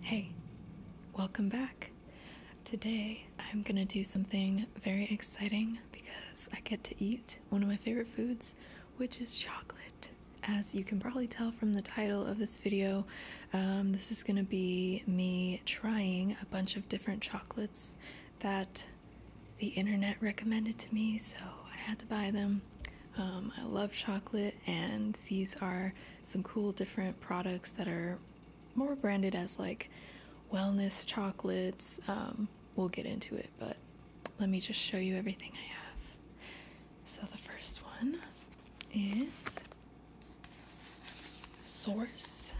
Hey, welcome back. Today I'm gonna do something very exciting because I get to eat one of my favorite foods, which is chocolate. As you can probably tell from the title of this video, um, this is gonna be me trying a bunch of different chocolates that the internet recommended to me, so I had to buy them. Um, I love chocolate, and these are some cool different products that are more branded as like wellness chocolates. Um, we'll get into it, but let me just show you everything I have. So the first one is Source.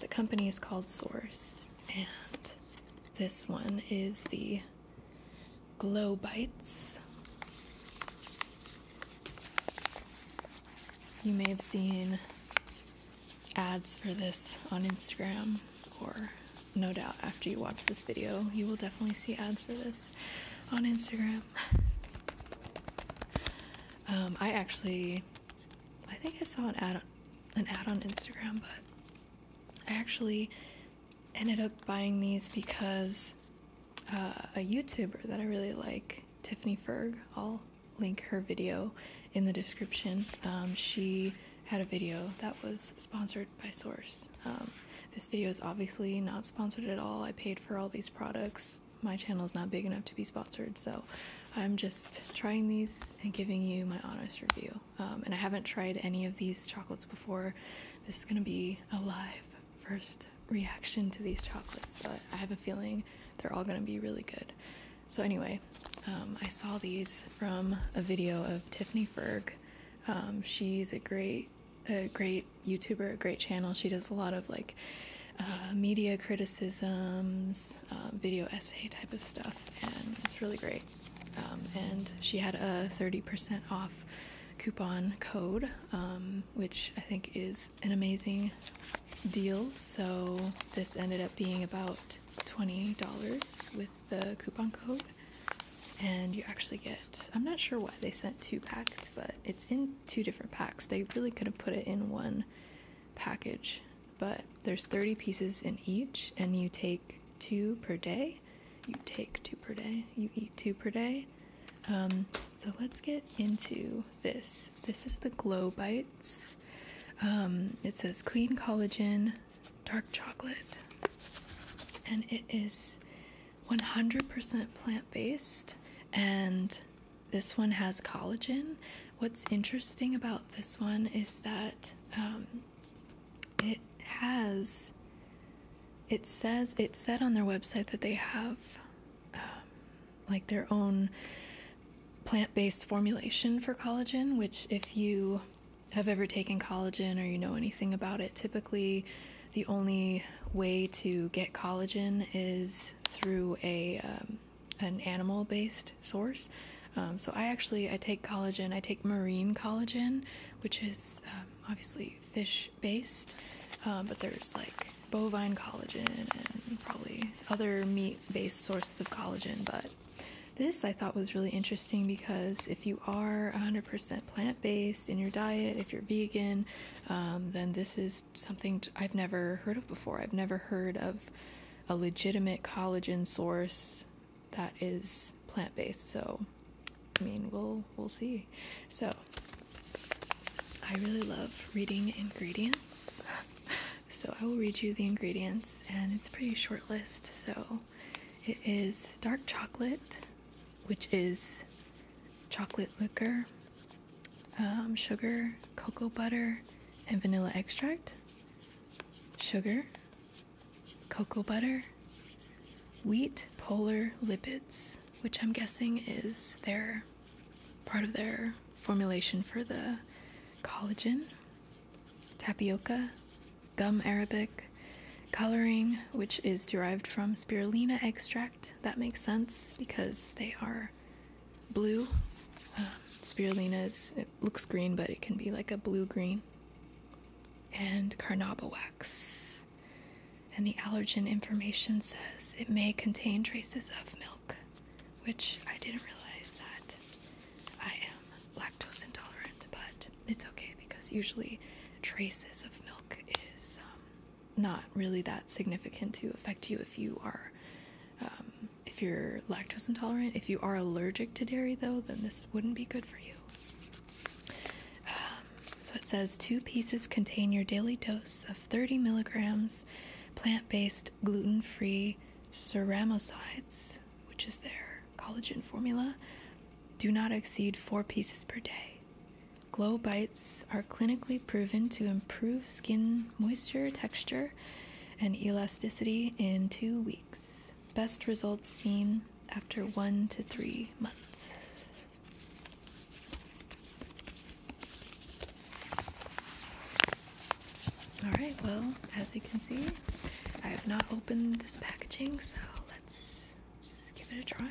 The company is called Source, and this one is the Glow Bites. You may have seen ads for this on Instagram, or no doubt after you watch this video, you will definitely see ads for this on Instagram. Um, I actually, I think I saw an ad, an ad on Instagram, but I actually ended up buying these because uh, a YouTuber that I really like, Tiffany Ferg, I'll link her video in the description. Um, she had a video that was sponsored by Source. Um, this video is obviously not sponsored at all. I paid for all these products. My channel is not big enough to be sponsored, so I'm just trying these and giving you my honest review. Um, and I haven't tried any of these chocolates before. This is gonna be a live first reaction to these chocolates, but I have a feeling they're all going to be really good. So, anyway, um, I saw these from a video of Tiffany Ferg. Um, she's a great, a great YouTuber, a great channel. She does a lot of like uh, media criticisms, um, video essay type of stuff, and it's really great. and she had a 30% off coupon code, um, which I think is an amazing deal. So this ended up being about $20 with the coupon code. And you actually get, I'm not sure why they sent two packs, but it's in two different packs. They really could have put it in one package, but there's 30 pieces in each, and you take two per day you take two per day, you eat two per day. Um, so let's get into this. This is the Glow Bites. Um, it says clean collagen, dark chocolate, and it is 100% plant based. And this one has collagen. What's interesting about this one is that um, it has it says it said on their website that they have um, like their own plant-based formulation for collagen which if you have ever taken collagen or you know anything about it typically the only way to get collagen is through a um, an animal based source um, so i actually i take collagen i take marine collagen which is obviously fish based, uh, but there's like bovine collagen and probably other meat based sources of collagen. But this I thought was really interesting because if you are 100% plant based in your diet, if you're vegan, um, then this is something I've never heard of before. I've never heard of a legitimate collagen source that is plant based. So I mean, we'll we'll see. So, I really love reading ingredients. So, I will read you the ingredients, and it's a pretty short list. So, it is dark chocolate, which is chocolate liquor, um, sugar, cocoa butter, and vanilla extract, sugar, cocoa butter, wheat polar lipids, which I'm guessing is their part of their formulation for the collagen, tapioca, gum arabic, coloring, which is derived from spirulina extract. That makes sense because they are blue. Um, spirulina is, it looks green, but it can be like a blue green. And carnauba wax and the allergen information says it may contain traces of milk, which I didn't realize that I am lactose intolerant, but it's okay because usually traces of milk is um, not really that significant to affect you if you are. Um, if you're lactose intolerant, if you are allergic to dairy though, then this wouldn't be good for you. Um, so it says two pieces contain your daily dose of 30 milligrams plant based gluten free ceramides, which is their collagen formula. Do not exceed four pieces per day. Glow bites are clinically proven to improve skin moisture, texture, and elasticity in two weeks. Best results seen after one to three months. Alright, well, as you can see, I have not opened this packaging, so let's just give it a try.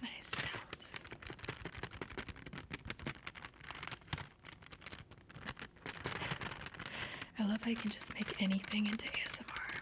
Nice sounds. I love how I can just make anything into ASMR.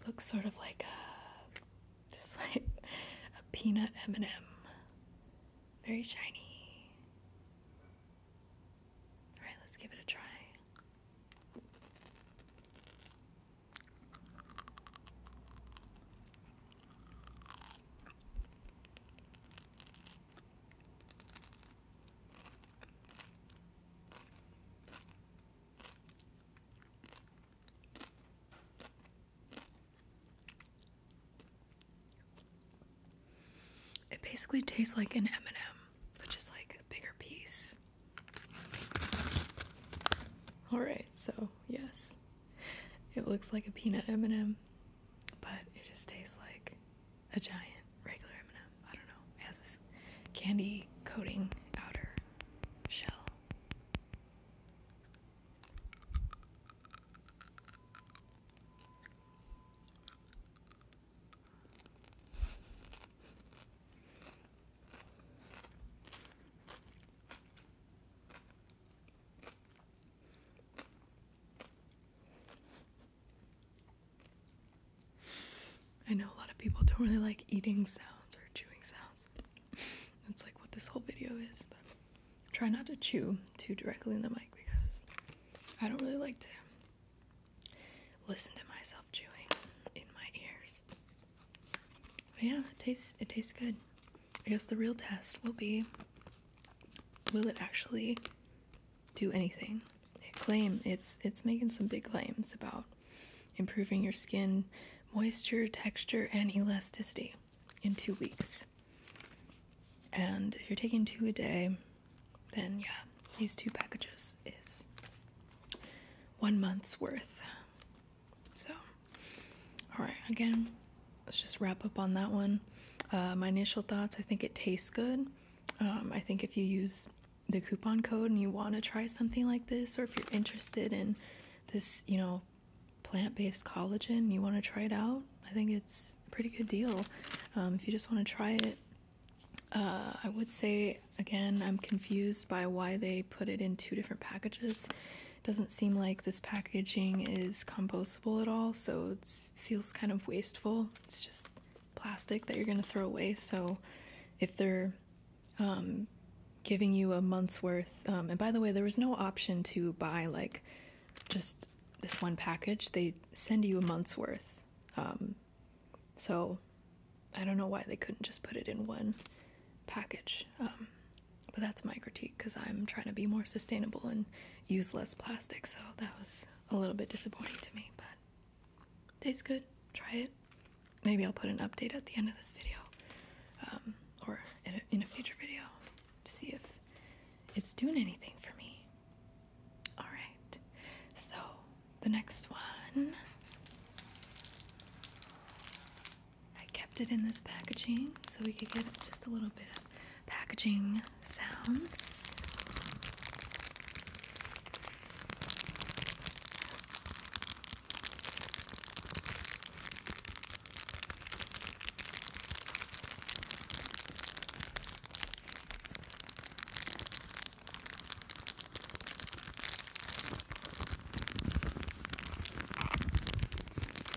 It looks sort of like a just like a peanut M&M. Very shiny. All right, let's give it a try. It basically tastes like an M&M, but just like a bigger piece. All right, so yes, it looks like a peanut M&M, but it just tastes like a giant regular M&M. I don't know. It has this candy coating outer shell. I know a lot of people don't really like eating sounds or chewing sounds. That's like what this whole video is, but try not to chew too directly in the mic because I don't really like to listen to myself chewing in my ears. But yeah, it tastes it tastes good. I guess the real test will be will it actually do anything? It claim it's it's making some big claims about improving your skin moisture, texture, and elasticity in two weeks. And if you're taking two a day, then yeah, these two packages is one month's worth. So, all right, again, let's just wrap up on that one. Uh, my initial thoughts I think it tastes good. Um, I think if you use the coupon code and you want to try something like this, or if you're interested in this, you know, plant-based collagen. You want to try it out? I think it's a pretty good deal. Um, if you just want to try it, uh, I would say again, I'm confused by why they put it in two different packages. It doesn't seem like this packaging is compostable at all, so it feels kind of wasteful. It's just plastic that you're gonna throw away. So if they're um, giving you a month's worth. Um, and by the way, there was no option to buy like just this one package, they send you a month's worth. Um, so I don't know why they couldn't just put it in one package. but that's my critique because I'm trying to be more sustainable and use less plastic. So that was a little bit disappointing to me, but tastes good. Try it maybe I'll put an update at the end of this video um, or in a, in a future video to see if it's doing anything for me. All right, so the next one. I kept it in this packaging so we could get just a little bit of packaging sounds.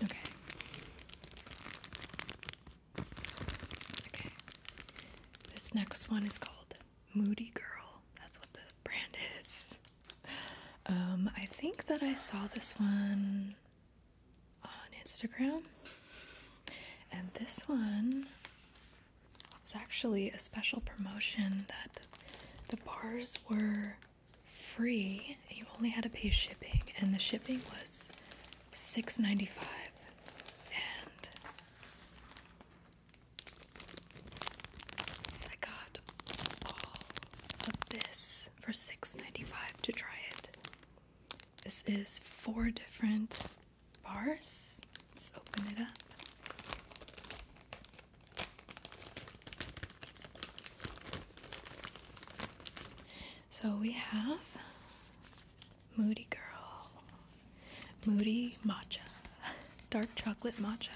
Okay. Okay. This next one is called Moody Girl. That's what the brand is. Um, I think that I saw this one on Instagram, and this one was actually a special promotion that the bars were free. You only had to pay shipping, and the shipping was six ninety five. And I got all of this for six ninety five to try it. This is four different bars. Let's open it up. So we have Moody Girl, Moody Matcha, Dark Chocolate Matcha,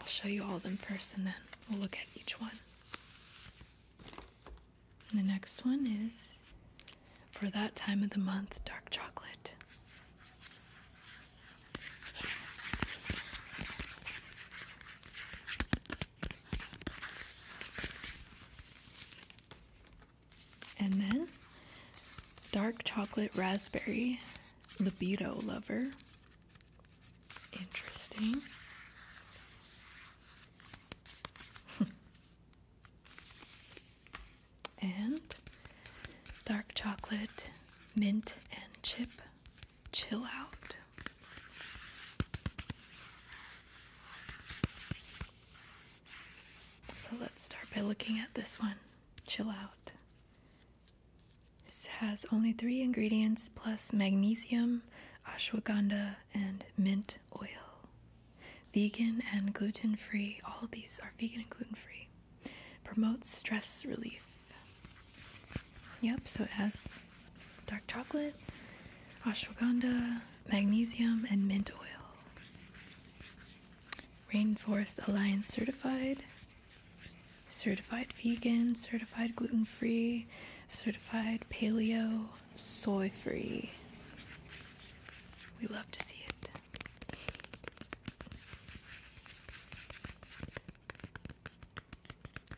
I'll show you all of them first and then we'll look at each one. the next one is for that time of the month dark chocolate. And then dark chocolate raspberry libido lover. Interesting. and dark chocolate mint and chip chill out. So let's start by looking at this one. Chill out. This has only three ingredients plus magnesium, ashwagandha, and mint oil. Vegan and gluten free, all these are vegan and gluten free. Promotes stress relief. Yep, so it has dark chocolate, ashwagandha, magnesium, and mint oil. Rainforest Alliance certified, certified vegan, certified gluten free, certified paleo, soy free. We love to see it.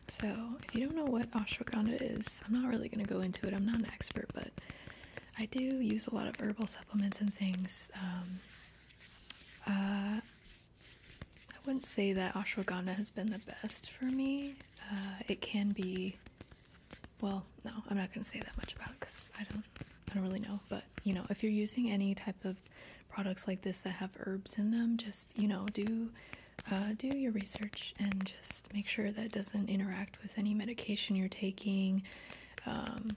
So, if you don't know what ashwagandha is, I'm not really going to go into it. I'm not an expert, but I do use a lot of herbal supplements and things. Um, uh, I wouldn't say that ashwagandha has been the best for me. Uh, it can be, well, no, I'm not going to say that much about it because I don't, I don't really know. But you know, if you're using any type of products like this that have herbs in them, just you know, do uh, do your research and just make sure that it doesn't interact with any medication you're taking. Um,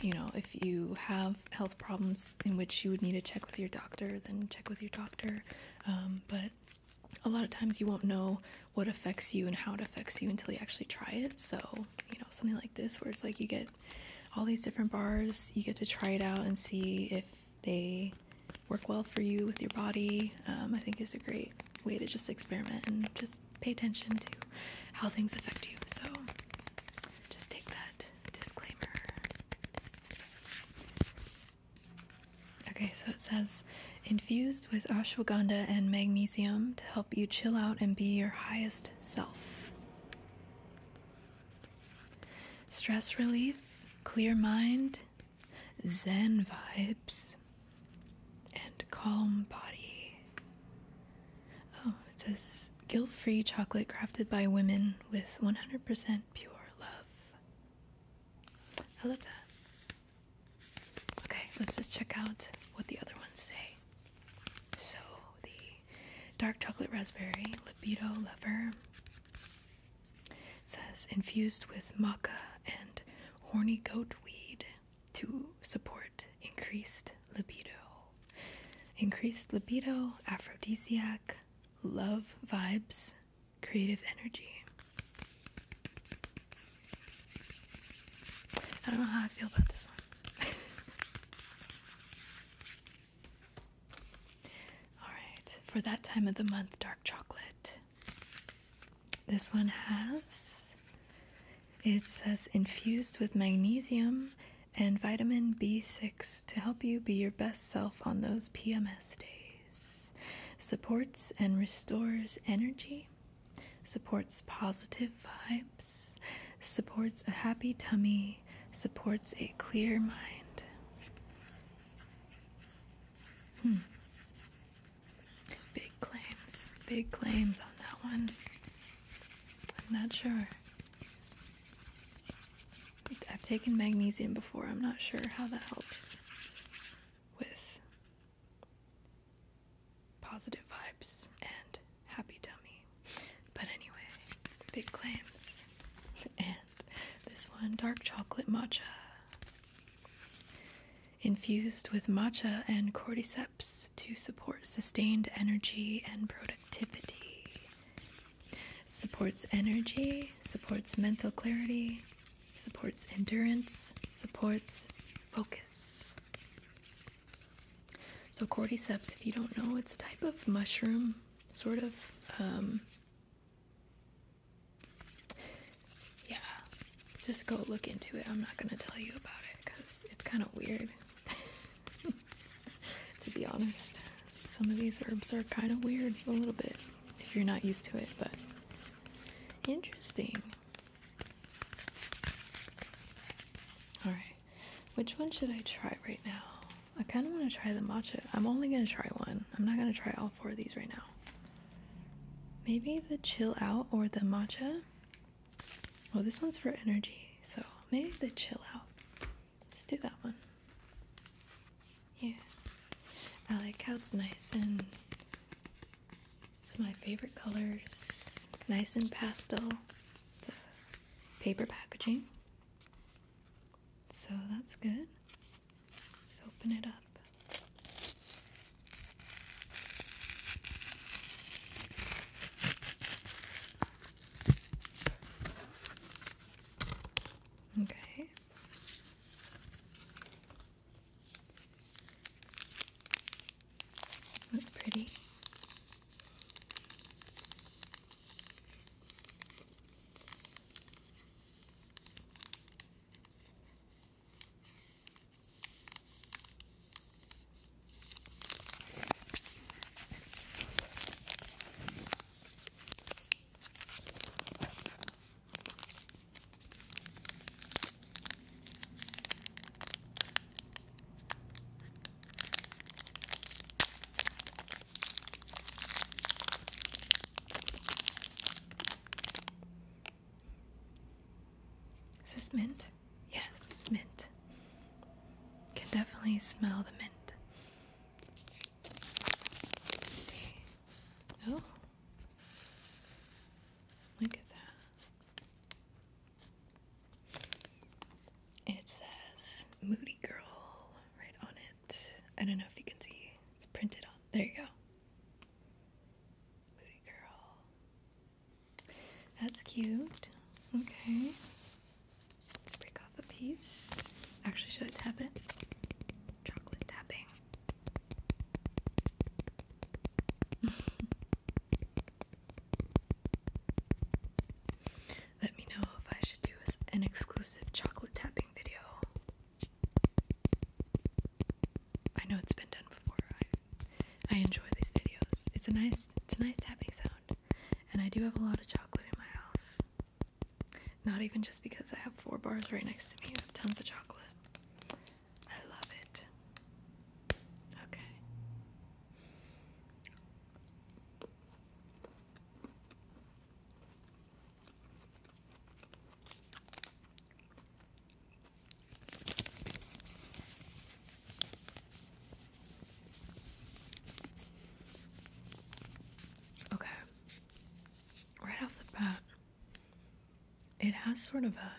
you know, if you have health problems in which you would need to check with your doctor, then check with your doctor. Um, but a lot of times you won't know what affects you and how it affects you until you actually try it. So, you know, something like this where it's like you get all these different bars, you get to try it out and see if they work well for you with your body, um, I think is a great way to just experiment and just pay attention to how things affect you. So just take that disclaimer. Okay, so it says infused with ashwagandha and magnesium to help you chill out and be your highest self. Stress relief, clear mind, zen vibes, and calm body. Oh, it says guilt free chocolate crafted by women with 100% pure love. I love that. Okay, let's just check out what the other ones say. So, the dark chocolate raspberry, libido lover, says infused with maca and horny goat weed to support increased libido increased libido, aphrodisiac, love vibes, creative energy. I don't know how I feel about this one. Alright, for that time of the month, dark chocolate. This one has it says infused with magnesium and vitamin B6 to help you be your best self on those PMS days. Supports and restores energy, supports positive vibes, supports a happy tummy, supports a clear mind. Hmm. Big claims, big claims on that one. I'm not sure. I've taken magnesium before. I'm not sure how that helps with positive vibes and happy tummy. But anyway, big claims. And this one dark chocolate matcha infused with matcha and cordyceps to support sustained energy and productivity. Supports energy, supports mental clarity, supports endurance, supports focus. So, cordyceps, if you don't know, it's a type of mushroom, sort of. Um, yeah, just go look into it. I'm not going to tell you about it because it's kind of weird. to be honest. Some of these herbs are kind of weird a little bit if you're not used to it, but interesting. Alright, which one should I try right now? I kind of want to try the matcha. I'm only going to try one. I'm not going to try all four of these right now. Maybe the chill out or the matcha? Well, this one's for energy, so maybe the chill out. Let's do that one. Yeah. I like how it's nice and it's my favorite colors. Nice and pastel. paper packaging. So that's good. Let's open it up. Okay. That's pretty. Is this mint? Yes, mint. Can definitely smell the mint. Oh. Look at that. It says Moody Girl right on it. I don't know if you can see. It's printed on. There you go. That's cute. Okay. Let's break off a piece. Actually, should I tap it? Chocolate tapping. Let me know if I should do an exclusive chocolate tapping video. I know it's been done before. I, I enjoy these videos. It's a nice, it's a nice tapping sound and I do have a lot of chocolate in my house. Not even just because I have four bars right next to me, tons of chocolate. I love it. Okay. Okay. Right off the bat, it has sort of a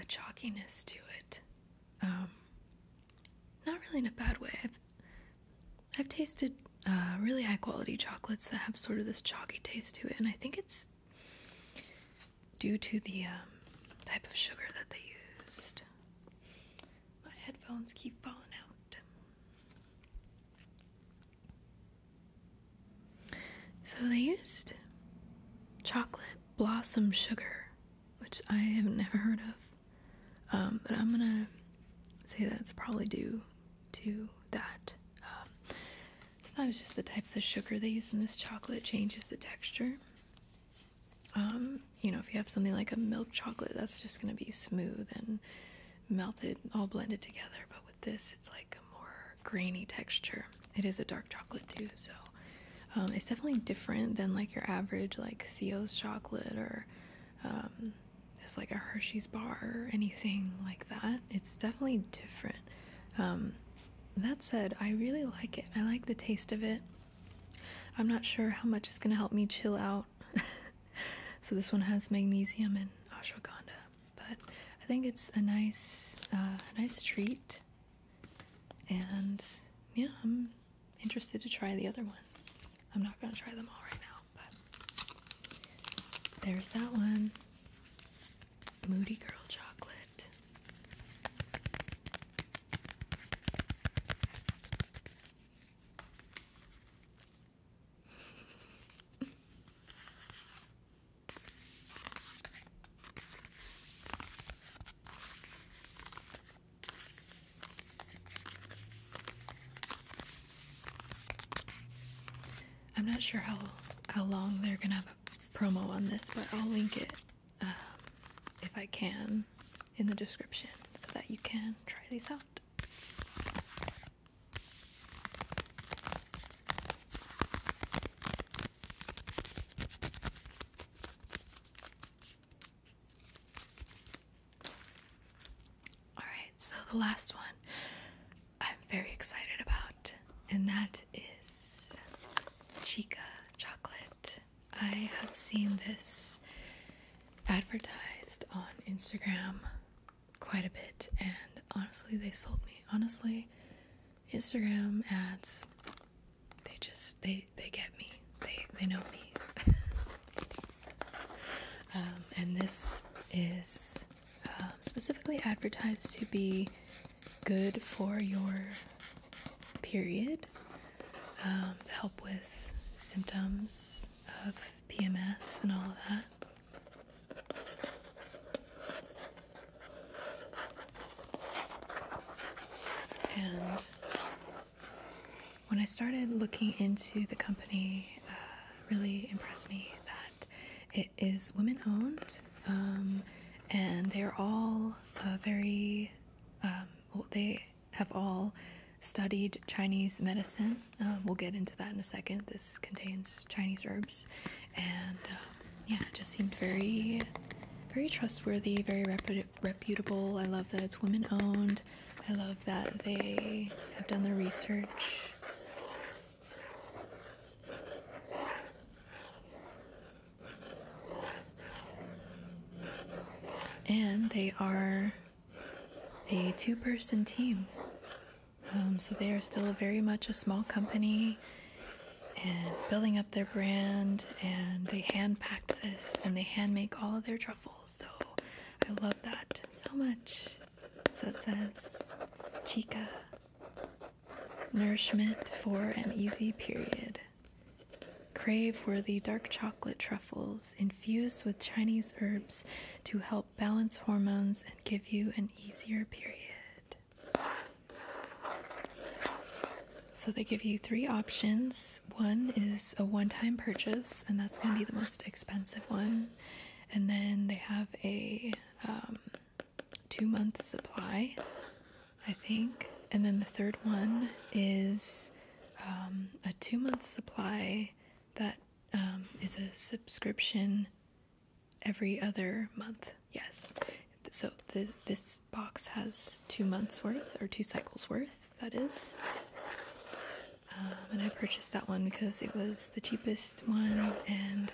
a chalkiness to it. Um, not really in a bad way. I've I've tasted uh, really high quality chocolates that have sort of this chalky taste to it, and I think it's due to the um, type of sugar that they used. My headphones keep falling out. So they used chocolate blossom sugar, which I have never heard of. Um, but I'm gonna say that's probably due to that. Um, sometimes just the types of sugar they use in this chocolate changes the texture. Um, you know, if you have something like a milk chocolate, that's just going to be smooth and melted, all blended together. But with this, it's like a more grainy texture. It is a dark chocolate too, so um, it's definitely different than like your average like Theo's chocolate or um, just like a Hershey's bar or anything like that. It's definitely different. Um, that said, I really like it. I like the taste of it. I'm not sure how much is going to help me chill out. so, this one has magnesium and ashwagandha, but I think it's a nice, uh, nice treat. And yeah, I'm interested to try the other ones. I'm not going to try them all right now, but there's that one Moody Girl Chocolate. I'm not sure how how long they're gonna have a promo on this, but I'll link it uh, if I can in the description so that you can try these out. Alright, so the last one I'm very excited about, and that is Chica chocolate. I have seen this advertised on Instagram quite a bit, and honestly, they sold me. Honestly, Instagram ads, they just they they get me. They they know me. Um, and this is um, specifically advertised to be good for your period um, to help with symptoms of PMS and all of that. And when I started looking into the company, uh, really impressed me that it is women owned um, and they're all uh, very, um, they have all studied Chinese medicine. Uh, we'll get into that in a second. This contains Chinese herbs, and uh, yeah, it just seemed very, very trustworthy, very reputable. I love that it's women owned. I love that they have done the research. And they are a two person team. Um, so they are still very much a small company and building up their brand. And they hand pack this and they hand make all of their truffles. So I love that so much. So it says Chica nourishment for an easy period. Crave worthy dark chocolate truffles infused with Chinese herbs to help balance hormones and give you an easier period. So they give you three options. One is a one time purchase, and that's going to be the most expensive one. And then they have a um, two month supply I think. And then the third one is um, a two month supply that um, is a subscription every other month. Yes. So this box has two months worth, or two cycles worth, that is. Um, and I purchased that one because it was the cheapest one, and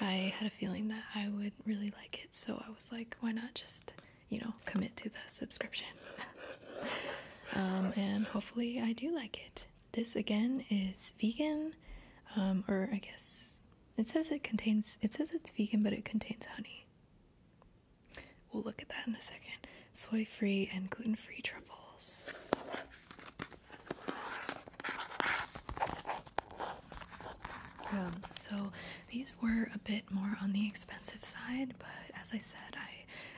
I had a feeling that I would really like it. So I was like, why not just you know, commit to the subscription. um, and hopefully, I do like it. This again is vegan, um, or I guess it says it contains, it says it's vegan, but it contains honey. We'll look at that in a second. Soy free and gluten free truffles. Um, so these were a bit more on the expensive side, but as I said, I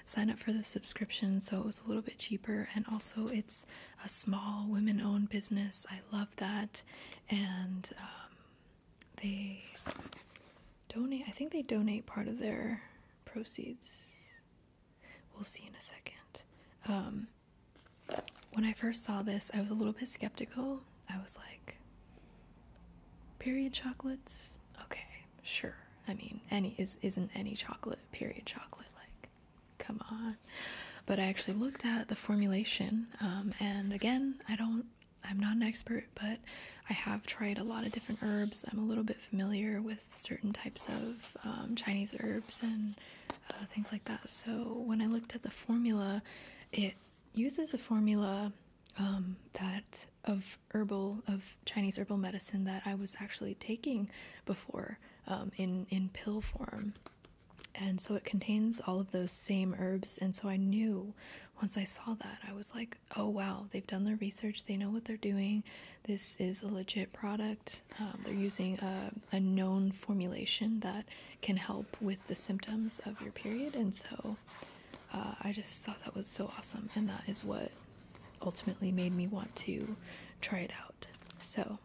signed up for the subscription so it was a little bit cheaper. And also, it's a small women owned business. I love that. And um, they donate, I think they donate part of their proceeds. We'll see in a second. Um, when I first saw this, I was a little bit skeptical I was like, period chocolates? Okay, sure. I mean, any is isn't any chocolate period chocolate like, come on. But I actually looked at the formulation, um, and again, I don't. I'm not an expert, but I have tried a lot of different herbs. I'm a little bit familiar with certain types of um, Chinese herbs and uh, things like that. So when I looked at the formula, it uses a formula um, that of herbal of Chinese herbal medicine that I was actually taking before um, in in pill form. And so it contains all of those same herbs. And so I knew once I saw that, I was like, oh wow, they've done their research. They know what they're doing. This is a legit product. Um, they're using a, a known formulation that can help with the symptoms of your period. And so uh, I just thought that was so awesome, and that is what ultimately made me want to try it out. So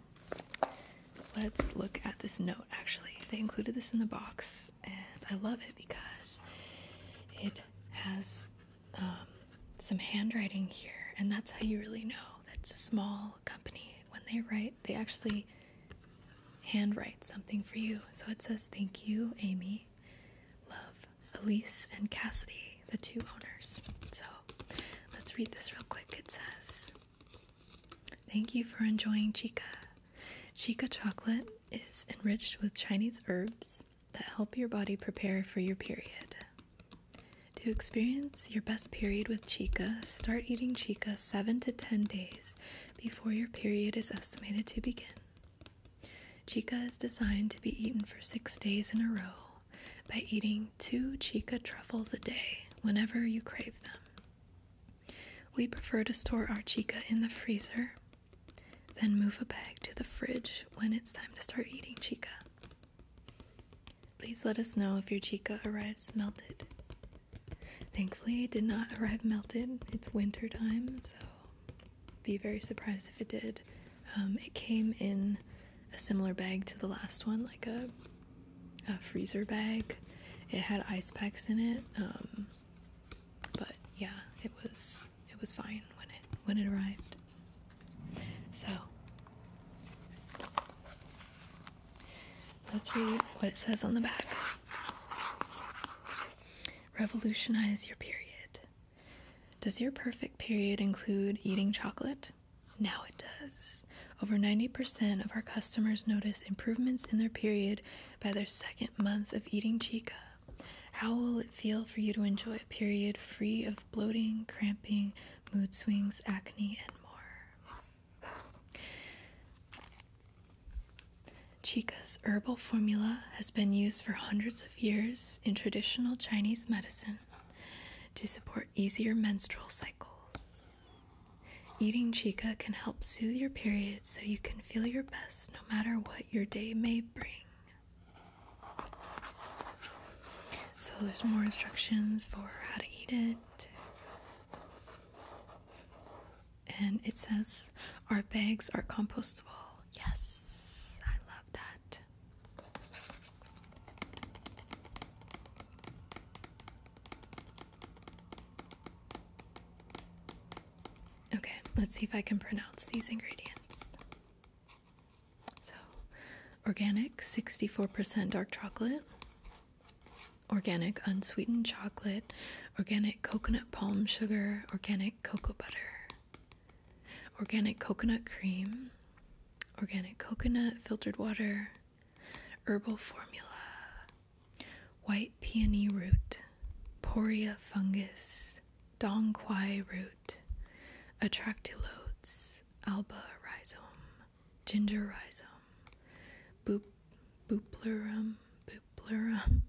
let's look at this note. Actually, they included this in the box, and I love it because it has um, some handwriting here, and that's how you really know that's a small company. When they write, they actually handwrite something for you. So it says, Thank you, Amy, love Elise and Cassidy, the two owners. So let's read this real quick. It says, Thank you for enjoying Chica. Chica chocolate is enriched with Chinese herbs that help your body prepare for your period. To experience your best period with Chica, start eating Chica 7 to 10 days before your period is estimated to begin. Chica is designed to be eaten for six days in a row by eating two chica truffles a day whenever you crave them. We prefer to store our chica in the freezer, then move a bag to the fridge when it's time to start eating chica. Please let us know if your chica arrives melted. Thankfully, it did not arrive melted. It's winter time, so be very surprised if it did. Um, it came in a similar bag to the last one, like a, freezer bag. It had ice packs in it, um, but yeah, it was it was fine when it when it arrived. So let's read what it says on the back. Revolutionize your period. Does your perfect period include eating chocolate? Now it does. Over 90% of our customers notice improvements in their period by their second month of eating chica. How will it feel for you to enjoy a period free of bloating, cramping, mood swings, acne, and more? Chica's herbal formula has been used for hundreds of years in traditional Chinese medicine to support easier menstrual cycles. Eating Chica can help soothe your period so you can feel your best no matter what your day may bring. So there's more instructions for how to eat it and it says our bags are compostable. Yes, I love that. Okay, let's see if I can pronounce these ingredients. So, organic 64% dark chocolate, organic unsweetened chocolate, organic coconut palm sugar, organic cocoa butter, organic coconut cream, organic coconut filtered water, herbal formula, white peony root, poria fungus, dong quai root, attractylodes, alba rhizome, ginger rhizome, Bup, buplarum, Bupleurum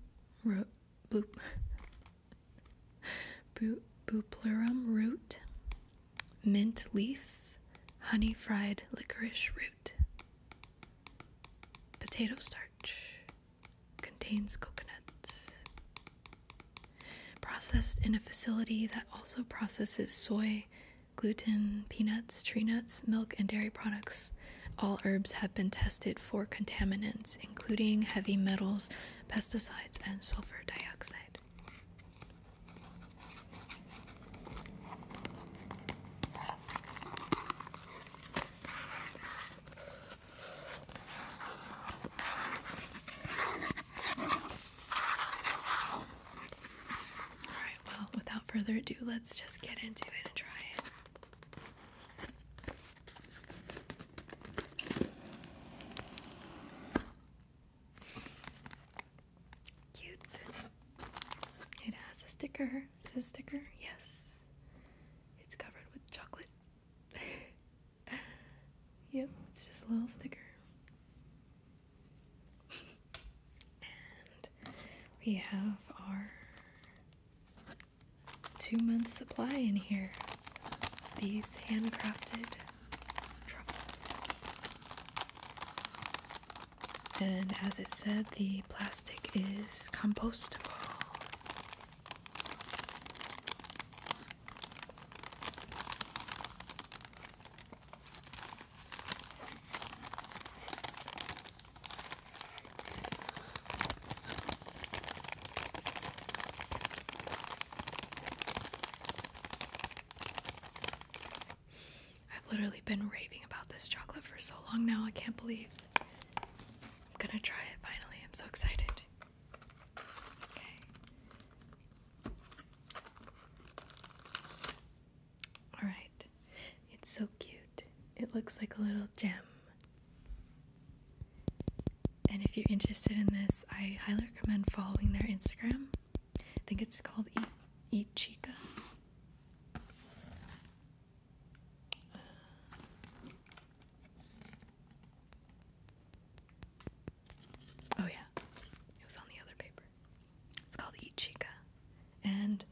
root. Bloop. Bupleurum root, mint leaf, honey fried licorice root. Potato starch contains coconuts. Processed in a facility that also processes soy, gluten, peanuts, tree nuts, milk, and dairy products. All herbs have been tested for contaminants, including heavy metals, pesticides, and sulfur dioxide. All right, well, without further ado, let's just get into it and try it. Cute. It has a sticker. Is sticker? Yes. It's covered with chocolate. yep, it's just a little sticker. and we have our two months supply in here these handcrafted truffles. And as it said, the plastic is compostable. I've literally been raving about this chocolate for so long now, I can't believe I'm gonna try it finally. I'm so excited. Okay. Alright. It's so cute. It looks like a little gem. And if you're interested in this, I highly recommend following their Instagram. I think it's called Eat, Eat Chica. oh, yeah, it was on the other paper. It's called Eat Chica. And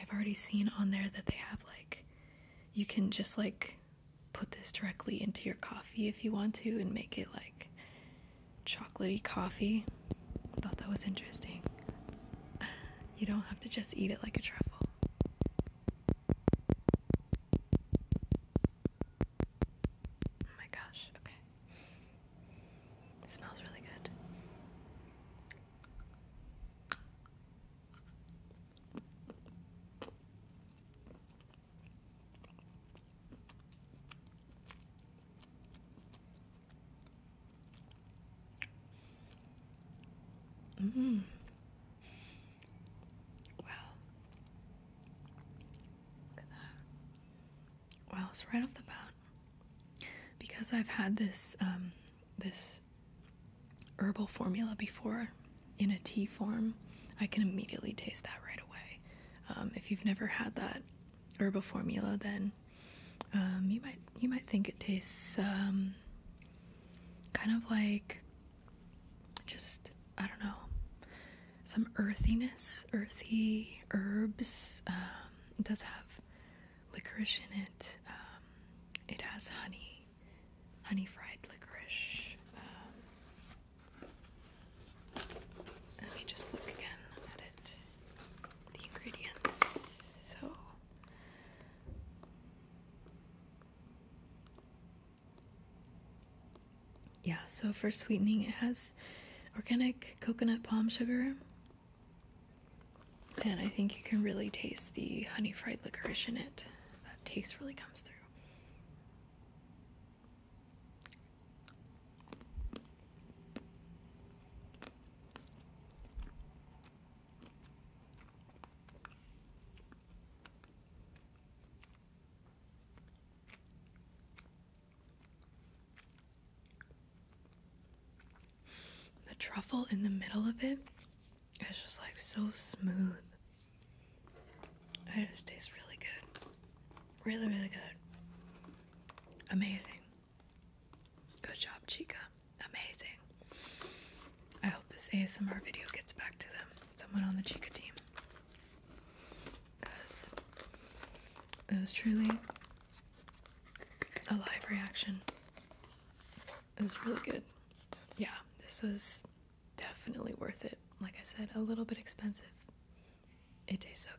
I've already seen on there that they have like, you can just like put this directly into your coffee if you want to and make it like chocolatey coffee. I thought that was interesting. You don't have to just eat it like a truffle. Oh my gosh, okay. smells really good. Mm. Wow. Look at that. Wow, so right off the bat, because I've had this um, this herbal formula before in a tea form, I can immediately taste that right away. Um, if you've never had that herbal formula, then um, you might you might think it tastes um, kind of like just I don't know some earthiness, earthy herbs. it does have licorice in it. it has honey honey fried licorice. Um, let me just look again at it. The ingredients. So. Yeah, so for sweetening, it has organic coconut palm sugar. And I think you can really taste the honey fried licorice in it that taste really comes through. The truffle in the middle of it it's just like so smooth. It just tastes really good. Really, really good. Amazing. Good job, Chica. Amazing. I hope this ASMR video gets back to them. Someone on the Chica team. Because it was truly a live reaction. It was really good. Yeah, this is definitely worth it. Like I said, a little bit expensive. It tastes so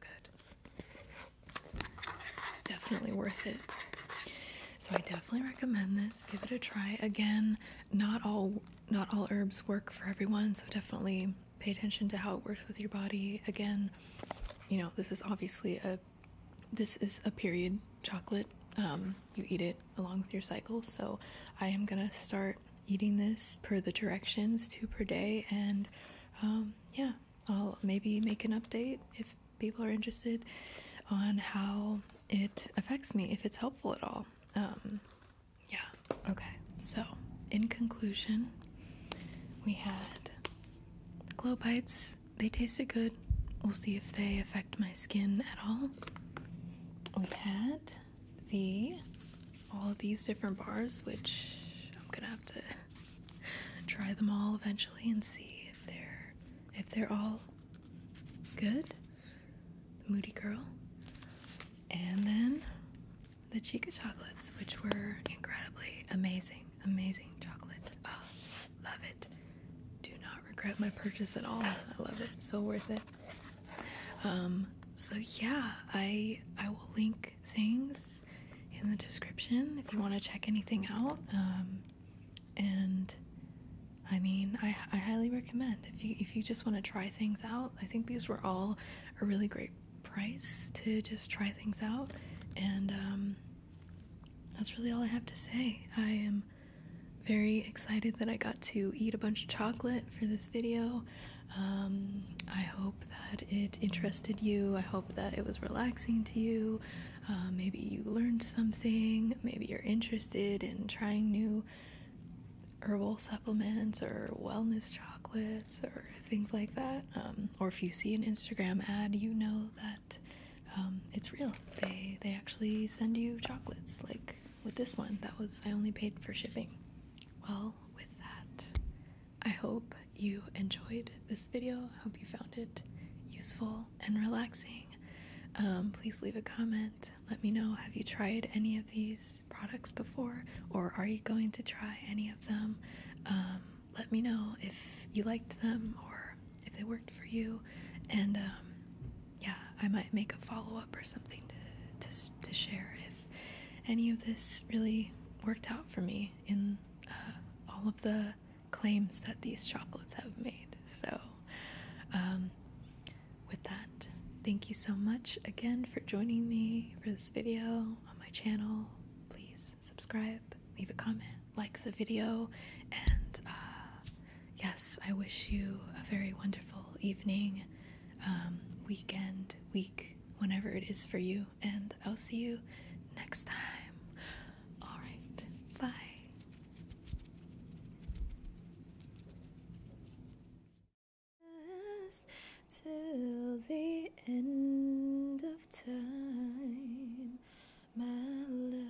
good. Definitely worth it. So I definitely recommend this. Give it a try. Again, not all not all herbs work for everyone, so definitely pay attention to how it works with your body. Again, you know, this is obviously a this is a period chocolate. Um, you eat it along with your cycle. So I am gonna start eating this per the directions, to per day, and um, yeah, I'll maybe make an update if people are interested on how it affects me, if it's helpful at all. Um, yeah, okay. So, in conclusion, we had glow bites. They tasted good. We'll see if they affect my skin at all we had the all these different bars, which I'm gonna have to try them all eventually and see if they're if they're all good. The Moody Girl, and then the Chica chocolates, which were incredibly amazing, amazing chocolate. Oh, love it. Do not regret my purchase at all. I love it. So worth it. Um, so yeah, I I will link things in the description if you want to check anything out. Um, and I mean, I, I highly recommend if you if you just want to try things out. I think these were all a really great price to just try things out, and um, that's really all I have to say. I am very excited that I got to eat a bunch of chocolate for this video. Um, I hope that it interested you. I hope that it was relaxing to you. Uh, maybe you learned something. Maybe you're interested in trying new herbal supplements or wellness chocolates or things like that. Um, or if you see an Instagram ad, you know that um, it's real. They they actually send you chocolates like with this one that was I only paid for shipping. Well, with that, I hope you enjoyed this video. I hope you found it useful and relaxing. Um, please leave a comment. Let me know have you tried any of these products before or are you going to try any of them? Um, let me know if you liked them or if they worked for you. And um, yeah, I might make a follow up or something to, to, to share if any of this really worked out for me in uh, all of the claims that these chocolates have made. So, um, with that, thank you so much again for joining me for this video on my channel. Please subscribe, leave a comment, like the video, and uh, yes, I wish you a very wonderful evening, um, weekend, week, whenever it is for you, and I'll see you next time. All right, bye. Till the end of time, my love.